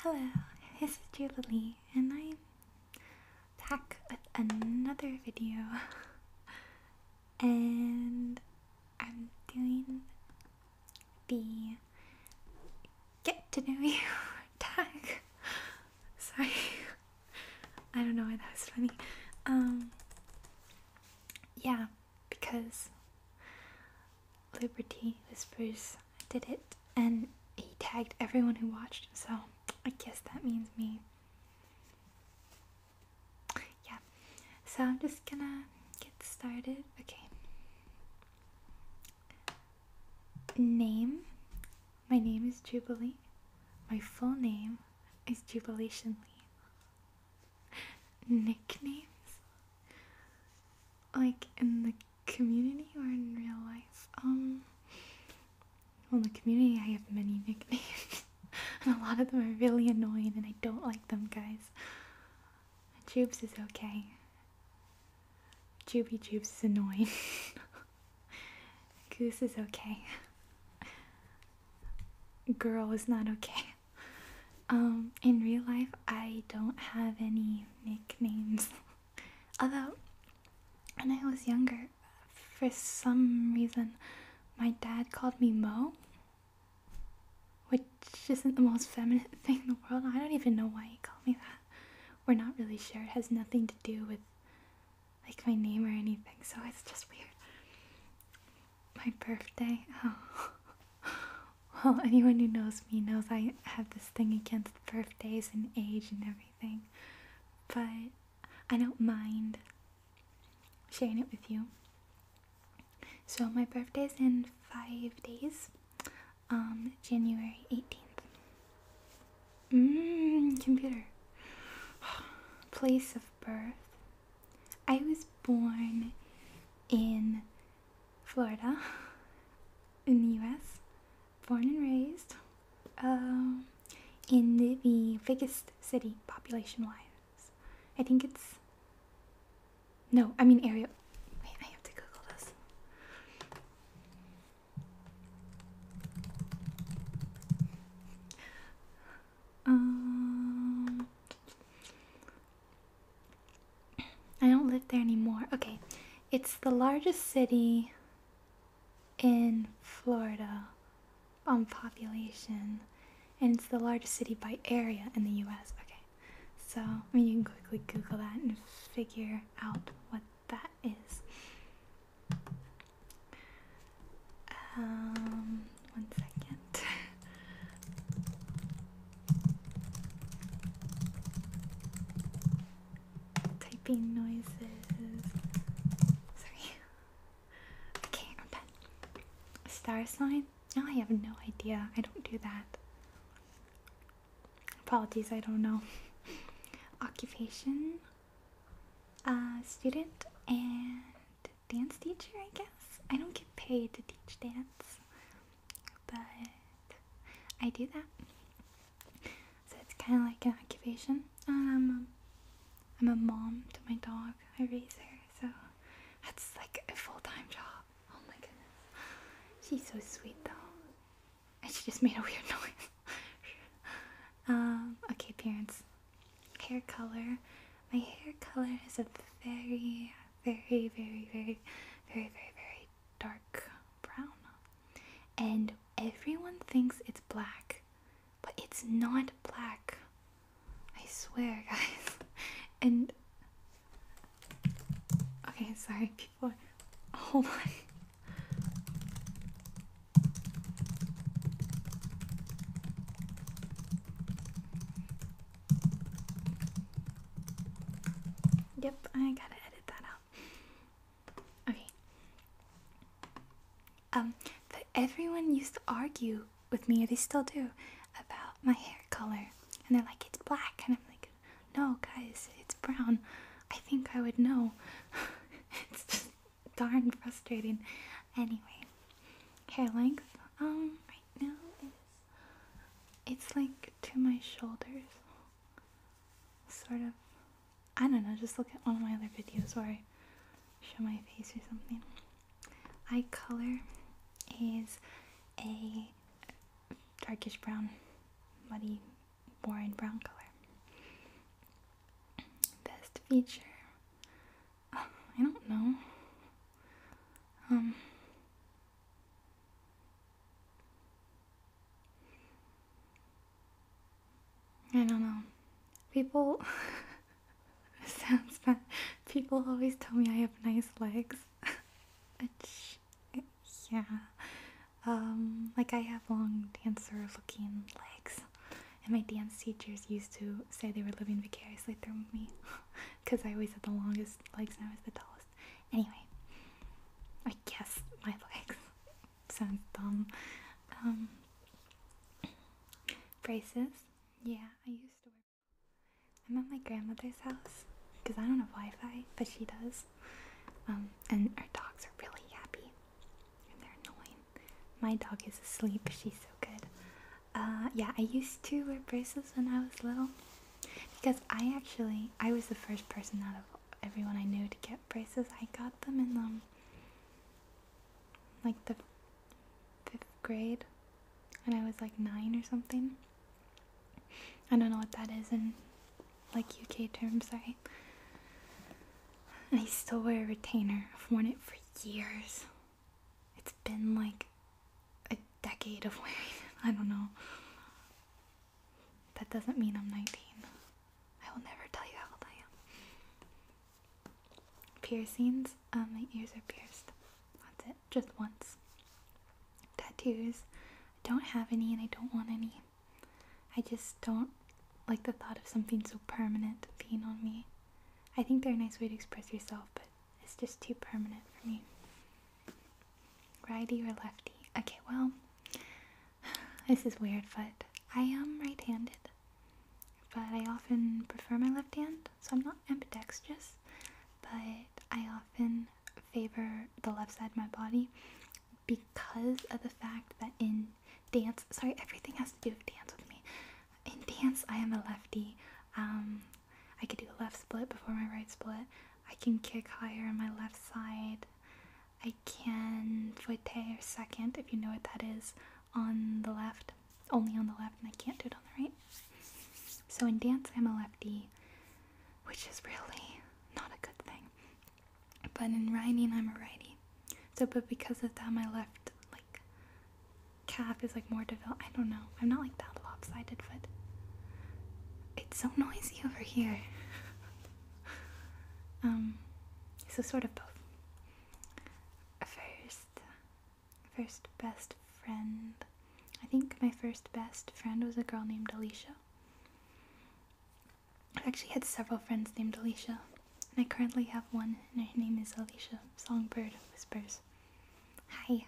Hello, this is Julie, and I'm back with another video. and I'm doing the get to know you tag. Sorry, I don't know why that was funny. Um, yeah, because Liberty Whispers did it, and he tagged everyone who watched, so I guess that means me. Yeah, so I'm just gonna get started. Okay. Name My name is Jubilee. My full name is Jubilation Lee nicknames? Like in the community or in real life? Um, well, in the community, I have many nicknames, and a lot of them are really annoying, and I don't like them, guys. Jubes is okay. Juby Jubes is annoying. Goose is okay. Girl is not okay. Um, in real life, I don't have any nicknames. Although, when I was younger, for some reason, my dad called me Mo, which isn't the most feminine thing in the world. I don't even know why he called me that. We're not really sure. It has nothing to do with like my name or anything, so it's just weird. My birthday. Oh. Well, anyone who knows me knows I have this thing against birthdays and age and everything, but I don't mind sharing it with you. So, my birthday is in five days, um, January 18th. Mmm, computer. Place of birth. I was born in Florida in the US, born and raised, um, in the, the biggest city population wise. I think it's. No, I mean area. Wait, I have to Google this. Um, I don't live there anymore. Okay, it's the largest city in Florida on population, and it's the largest city by area in the US. Okay, so you can quickly Google that and figure out what that is. Um, one second. Typing noises. Sorry. Okay, Star sign? No, oh, I have no idea. I don't do that. Apologies, I don't know. Occupation, uh, student, and dance teacher, I guess. I don't get paid to teach dance but I do that. So it's kind of like an occupation. Um, I'm a mom to my dog. I raise her, so that's like a full-time job. Oh my goodness, she's so sweet though. And she just made a weird noise. um, okay, parents. Hair color. My hair color is a very, very, very, very, very, very, very dark brown. And everyone thinks it's black, but it's not black. I swear, guys. And. Okay, sorry, people. Hold on. Oh Yep, I gotta edit that out. Okay. Um, everyone used to argue with me, they still do, about my hair color. And they're like, it's black. And I'm like, no, guys, it's brown. I think I would know. it's just darn frustrating. Anyway, hair length, um, right now is it's like to my shoulders. Sort of. I don't know, just look at one of my other videos where I show my face or something. Eye color is a darkish brown, muddy, boring brown color. Best feature I don't know. Um. I don't know. People. sounds bad. People always tell me I have nice legs. yeah. Um, like I have long dancer looking legs. And my dance teachers used to say they were living vicariously through me because I always had the longest legs and I was the tallest. Anyway, I guess my legs sound dumb. Um, braces? Yeah, I used to wear. I'm at my grandmother's house because I don't have Wi-Fi, but she does. Um, and our dogs are really happy, and they're annoying. My dog is asleep. She's so good. Uh, yeah, I used to wear braces when I was little because I actually I was the first person out of everyone I knew to get braces. I got them in um like the fifth grade when I was like nine or something. I don't know what that is in like UK terms, right? I still wear a retainer. I've worn it for years. It's been like a decade of waiting. I don't know. That doesn't mean I'm 19. I will never tell you how old I am. Piercings. Um, my ears are pierced. That's it. Just once. Tattoos. I don't have any and I don't want any. I just don't like the thought of something so permanent being on me. I think they're a nice way to express yourself, but it's just too permanent for me. Righty or lefty? Okay, well, this is weird, but I am right handed. But I often prefer my left hand, so I'm not ambidextrous, but I often favor the left side of my body because of the fact that in dance, sorry, everything has to do with dance with me. In dance, I am a lefty. Um, I can do a left split before my right split. I can kick higher on my left side. I can footer second, if you know what that is, on the left, only on the left, and I can't do it on the right. So in dance, I'm a lefty, which is really not a good thing. But in writing, I'm a righty. So, but because of that, my left, like, calf is like more developed. I don't know. I'm not like that lopsided, foot. it's so noisy over here. um, so sort of both. First, first best friend. I think my first best friend was a girl named Alicia. i actually had several friends named Alicia, and I currently have one, and her name is Alicia Songbird Whispers. Hi.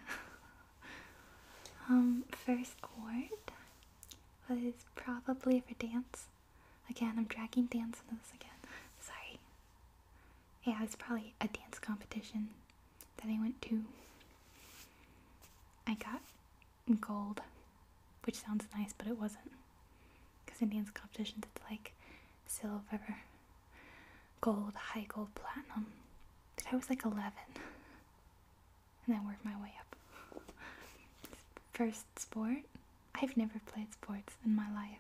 um, first award was probably for dance. Again, I'm dragging dance into this again. Sorry. Yeah, it's probably a dance competition that I went to. I got gold, which sounds nice, but it wasn't. Because in dance competitions, it's like silver, gold, high gold, platinum. I was like 11. And I worked my way up. First sport? I've never played sports in my life.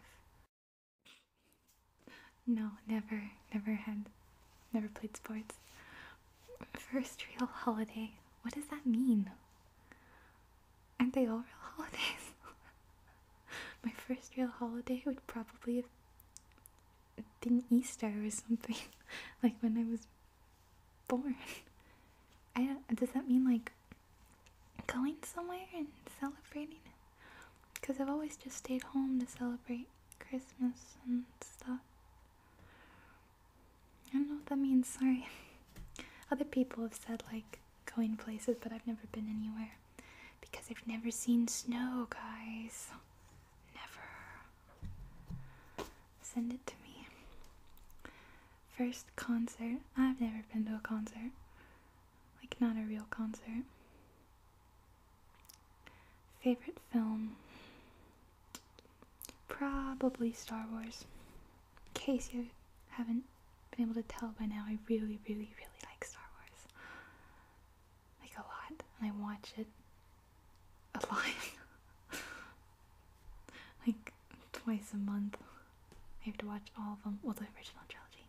No, never, never had, never played sports. First real holiday. What does that mean? Aren't they all real holidays? my first real holiday would probably have than Easter or something, like when I was born. I don't, does that mean like going somewhere and celebrating Because I've always just stayed home to celebrate Christmas and stuff. I don't know what that means, sorry. Other people have said like going places, but I've never been anywhere because I've never seen snow, guys. Never. Send it to me. First concert. I've never been to a concert. Like, not a real concert. Favorite film? Probably Star Wars. In case you haven't been able to tell by now, I really, really, really like Star Wars like a lot and I watch it a lot like twice a month I have to watch all of them well the original trilogy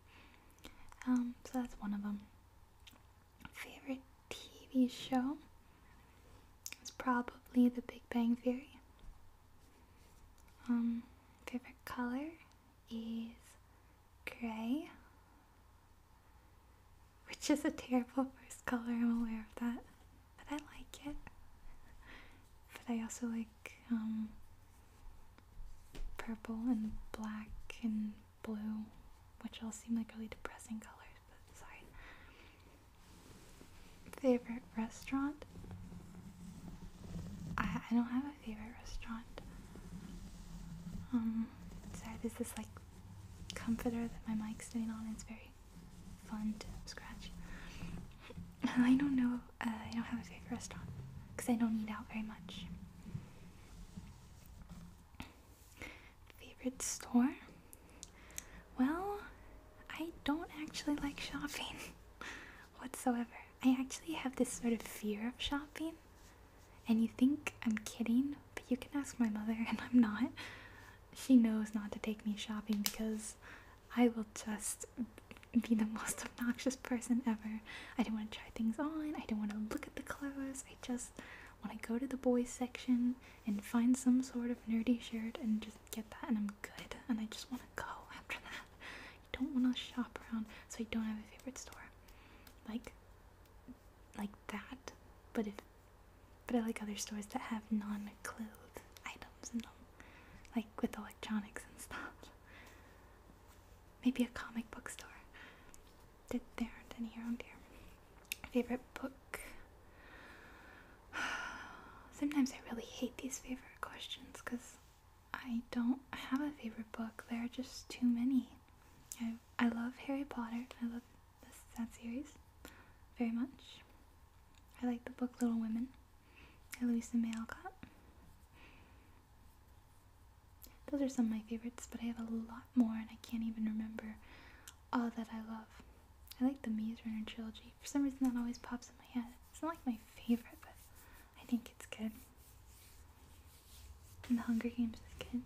um so that's one of them favorite TV show is probably The Big Bang Theory um favorite color is grey, which is a terrible first color, I'm aware of that, but I like it. But I also like um, purple and black and blue, which all seem like really depressing colors, but sorry. Favorite restaurant? I, I don't have favorite restaurant. Um, sad is this like comforter that my mic's sitting on. and It's very fun to scratch. I don't know. Uh, I don't have a favorite restaurant because I don't eat out very much. Favorite store? Well, I don't actually like shopping whatsoever. I actually have this sort of fear of shopping. And you think I'm kidding, but you can ask my mother, and I'm not. She knows not to take me shopping because I will just be the most obnoxious person ever. I don't want to try things on, I don't want to look at the clothes, I just want to go to the boys section and find some sort of nerdy shirt and just get that, and I'm good. And I just want to go after that. I don't want to shop around, so I don't have a favorite store. Like, like that. But if, but I like other stores that have non-clothes items in them, like with electronics and stuff. Maybe a comic book store. Did There aren't any around here. Favorite book. Sometimes I really hate these favorite questions because I don't have a favorite book. There are just too many. I, I love Harry Potter. I love this, that series very much. I like the book Little Women by Louisa May Alcott. Those are some of my favorites, but I have a lot more and I can't even remember all that I love. I like the Maze Runner trilogy. For some reason that always pops in my head. It's not like my favorite, but I think it's good. And the Hunger Games is good.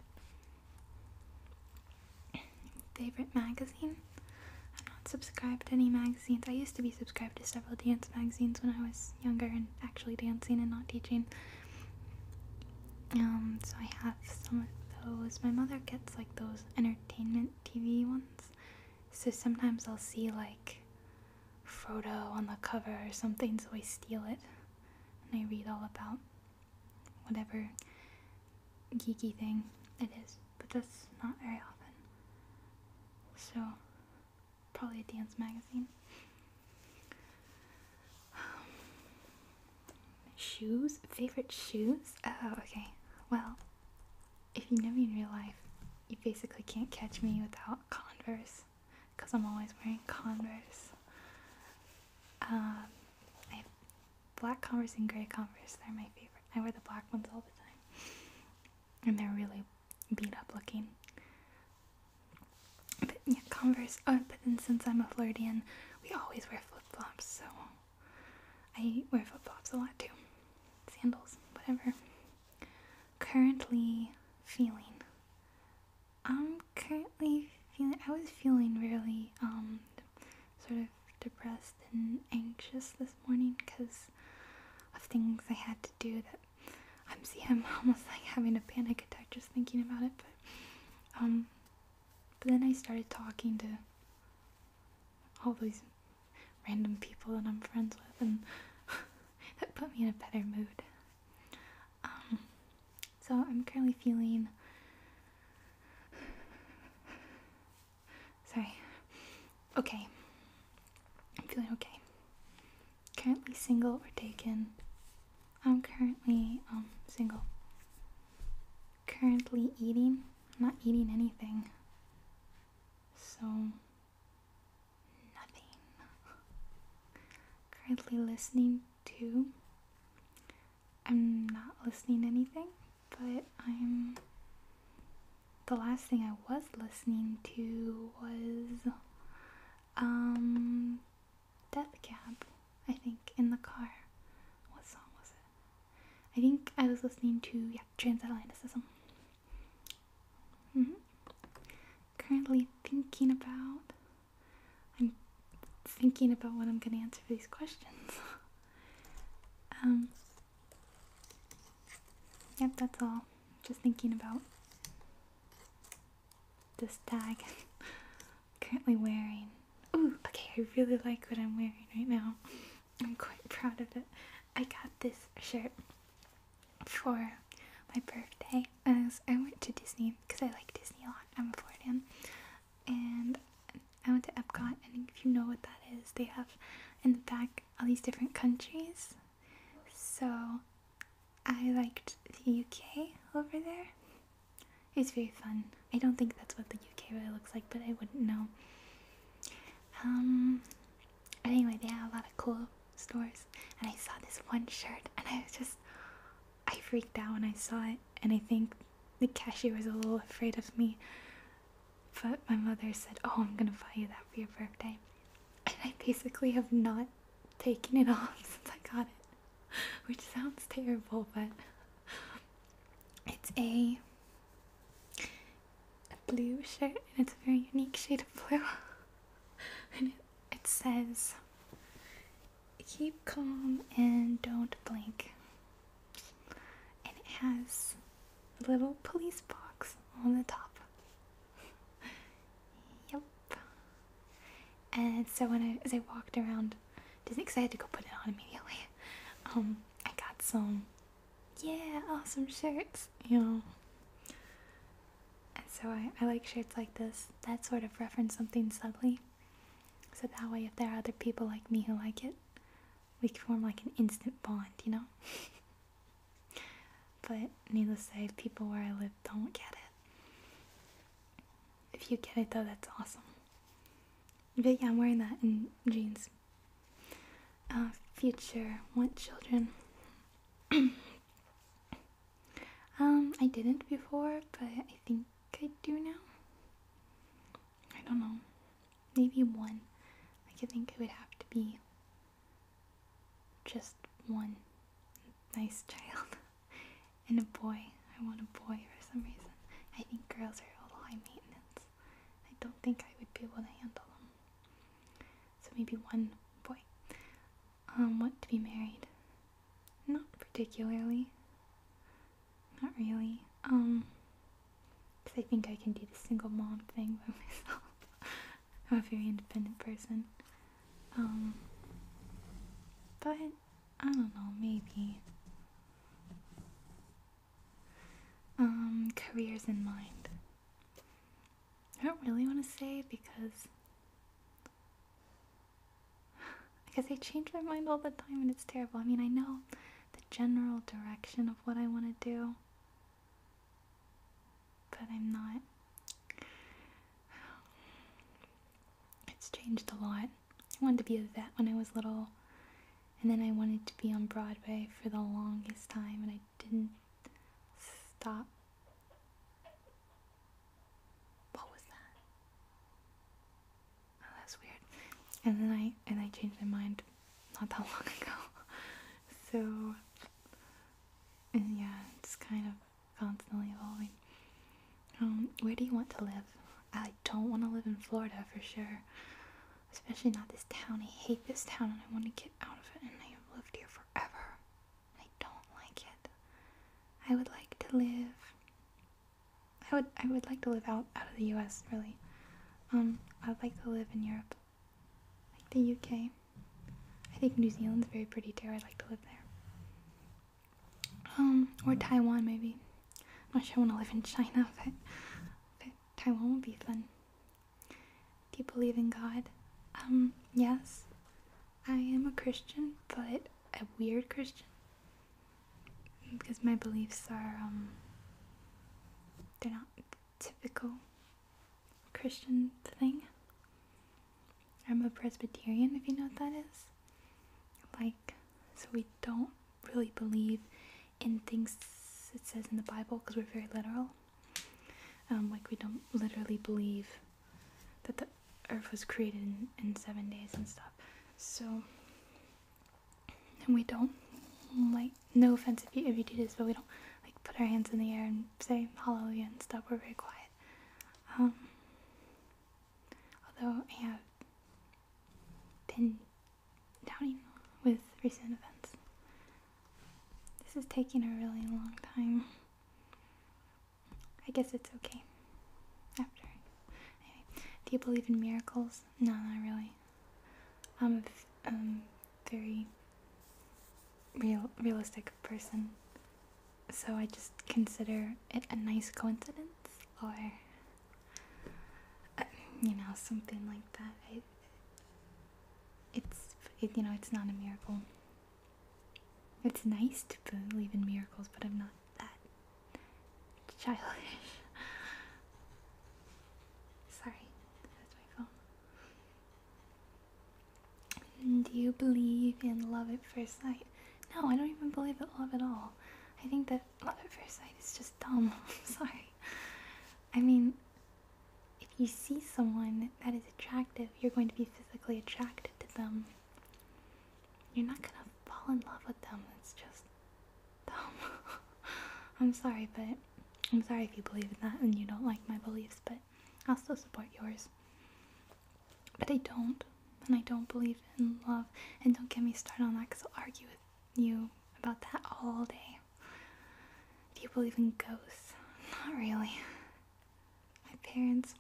Favorite magazine? I'm not subscribed to any magazines. I used to be subscribed to several dance magazines when I was younger and actually dancing and not teaching. Um, so I have some of those. My mother gets like those entertainment TV ones. So sometimes I'll see like Frodo on the cover or something, so I steal it and I read all about whatever geeky thing it is, but that's not very often. So, probably a dance magazine. shoes? Favorite shoes? Oh, okay. Well, if you know me in real life, you basically can't catch me without Converse because I'm always wearing Converse. Um, black Converse and gray Converse. They're my favorite. I wear the black ones all the time, and they're really beat up looking. But yeah, Converse. Oh, but then since I'm a Floridian, we always wear flip flops, so I wear flip flops a lot too. Sandals, whatever. Currently feeling I'm currently feeling, I was feeling really um, sort of depressed and anxious this morning because of things I had to do that I'm see I'm almost like having a panic attack just thinking about it but um but then I started talking to all these random people that I'm friends with and that put me in a better mood um, so I'm currently feeling. Sorry. Okay. I'm feeling okay. Currently single or taken. I'm currently um single. Currently eating. not eating anything. So nothing. Currently listening to. I'm not listening anything, but I'm. The last thing I was listening to was. Um. Death Cab, I think, in the car. What song was it? I think I was listening to, yeah, Transatlanticism. Mm-hmm currently thinking about. I'm thinking about what I'm going to answer for these questions. um, yep, that's all. Just thinking about this tag currently wearing. Oh, okay, I really like what I'm wearing right now. I'm quite proud of it. I got this shirt for my birthday as I went to Disney because I like Disney a lot. I'm a Floridian. And I went to Epcot and if you know what that is, they have in the back all these different countries. So I liked the UK over there. It's very fun. I don't think that's what the UK really looks like, but I wouldn't know. Um, but anyway, they had a lot of cool stores and I saw this one shirt and I was just I freaked out when I saw it and I think the cashier was a little afraid of me. But my mother said, Oh, I'm gonna buy you that for your birthday. And I basically have not taken it off since I got it, which sounds terrible, but it's a, blue shirt and it's a very unique shade of blue. it says keep calm and don't blink. And it has a little police box on the top. yep. And so when I as I walked around Disney because I had to go put it on immediately. Um, I got some yeah, awesome shirts, you know. And so I, like shirts like this that sort of reference something subtly. So that way, if there are other people like me who like it, we can form like an instant bond, you know? but needless to say, people where I live don't get it. If you get it though, that's awesome. But yeah, I'm wearing that in jeans. Uh, future want children. Um, I didn't before, but I think I do now. I don't know. Maybe one. Like, I think it would have to be just one nice child and a boy. I want a boy for some reason. I think girls are all little high maintenance. I don't think I would be able to handle them so maybe one boy. Um, want to be married? Not particularly. Not really. Um, because I think I can do the single mom thing by myself. I'm a very independent person. Um, but I don't know, maybe. Um, careers in mind. I don't really want to say because because I change my mind all the time and it's terrible. I mean, I know the general direction of what I want to do, but I'm not. It's changed a lot. I wanted to be a vet when I was little, and then I wanted to be on Broadway for the longest time, and I didn't stop. What was that? Oh, that's weird. And then I and I changed my mind not that long ago. so and yeah, it's kind of constantly evolving. Um, where do you want to live? I don't want to live in Florida for sure. Especially not this town. I hate this town and I want to get out of it and I have lived here forever. I don't like it. I would like to live. I would I would like to live out out of the U.S. Really, um, I would like to live in Europe, like the U.K. I think New Zealand's very pretty too. I'd like to live there. Um, or Taiwan maybe. I'm not sure I want to live in China, but Taiwan would be fun. Do you believe in God? Um, yes. I am a Christian, but a weird Christian. Because my beliefs are, um, they're not typical Christian thing. I'm a Presbyterian, if you know what that is. Like, so we don't really believe in things it says in the Bible because we're very literal. Um, like we don't literally believe that the earth was created in, seven days and stuff. So, and we don't like, no offense if you, if you do this, but we don't like put our hands in the air and say hallelujah and stuff. We're very quiet. Um, although I have been doubting with recent events. This is taking a really long time. I guess it's okay. After. do you believe in miracles? No, not really. I'm a very real realistic person. So I just consider it a nice coincidence or uh, you know something like that. it's you know it's not a miracle. It's nice to believe in miracles, but I'm not that childish. Sorry, that's my phone. Do you believe in love at first sight? No, I don't even believe in love at all. I think that love at first sight is just dumb. I'm sorry. I mean, if you see someone that is attractive, you're going to be physically attracted to them. You're not gonna fall in love with them. It's just dumb. I'm sorry, but I'm sorry if you believe in that and you don't like my beliefs, but I'll still support yours. But I don't, and I don't believe in love, and don't get me started on that because I'll argue with you about that all day. Do you believe in ghosts? Not really. My parents,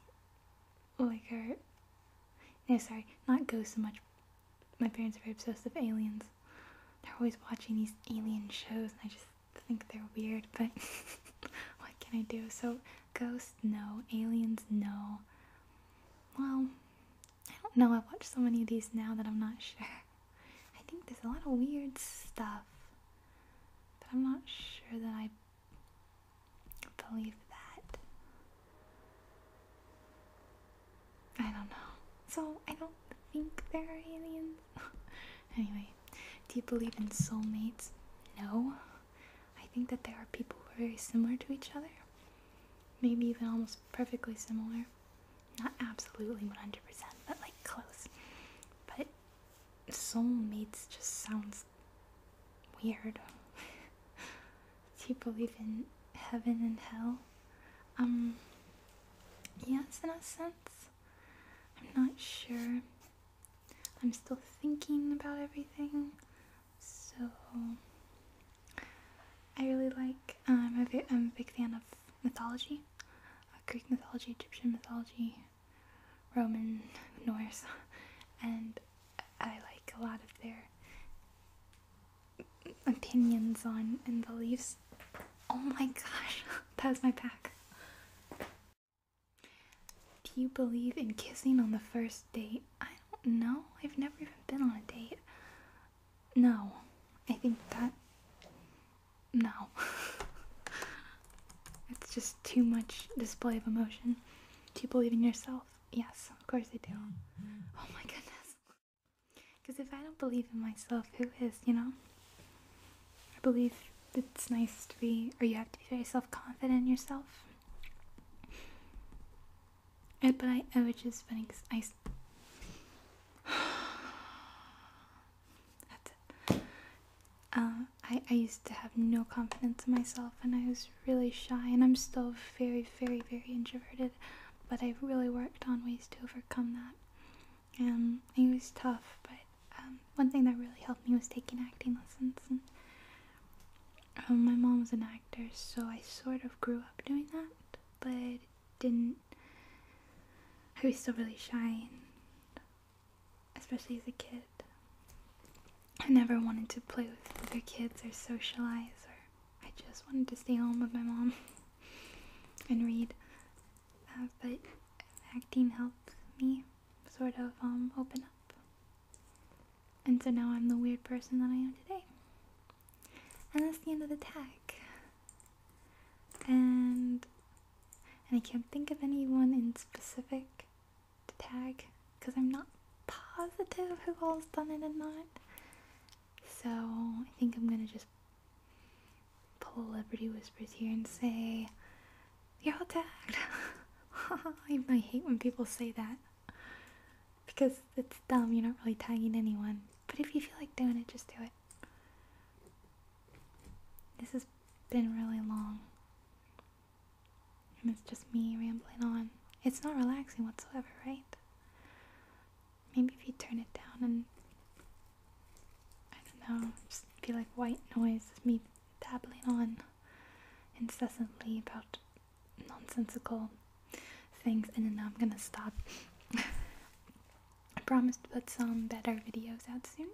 like, are. No, sorry, not ghosts so much. My parents are very obsessed with aliens. They're always watching these alien shows, and I just think they're weird, but what can I do? So, ghosts, no. Aliens, no. Well, I don't know. I've watched so many of these now that I'm not sure. I think there's a lot of weird stuff, but I'm not sure that I believe that. I don't know. So I don't think there are aliens. anyway, do you believe in soulmates? No. I think that there are people who are very similar to each other. Maybe even almost perfectly similar. Not absolutely 100%, but like close. But soulmates just sounds weird. Do you believe in heaven and hell? Um, yes, in a sense. I'm not sure. I'm still thinking about everything. So, I really like, um, I'm, a big fan of mythology. Uh, Greek mythology, Egyptian mythology, Roman, Norse, and I like a lot of their opinions on and beliefs. Oh my gosh, that was my pack. Do you believe in kissing on the first date? I don't know. I've never even been on a date. No, I think that no. it's just too much display of emotion. Do you believe in yourself? Yes, of course I do. Oh my goodness. Because if I don't believe in myself, who is, you know? I believe it's nice to be, or you have to be very self confident in yourself. but I, I was just spending, I, Um, I, I used to have no confidence in myself and I was really shy, and I'm still very, very, very introverted, but I've really worked on ways to overcome that. And um, it was tough, but um, one thing that really helped me was taking acting lessons. my mom was an actor, so I sort of grew up doing that, but didn't. I was still really shy and especially as a kid. I never wanted to play with other kids or socialize, or I just wanted to stay home with my mom and read. Uh, but acting helped me sort of um, open up. And so now I'm the weird person that I am today. And that's the end of the tag and and I can't think of anyone in specific to tag because I'm not positive who all's done it and not. So I think I'm gonna just pull Liberty Whispers here and say, You're all tagged. I, I hate when people say that because it's dumb, you're not really tagging anyone. But if you feel like doing it, just do it this has been really long. And it's just me rambling on. It's not relaxing whatsoever, right? Maybe if you turn it down and I don't know, just feel like white noise, me dabbling on incessantly about nonsensical things, and then I'm gonna stop. I promise to put some better videos out soon.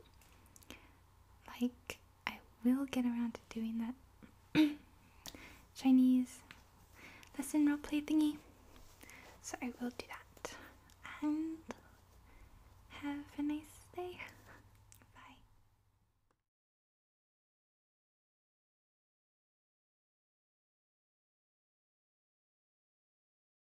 Like, I will get around to doing that Chinese lesson role play thingy. So I will do that. And have a nice day. Bye.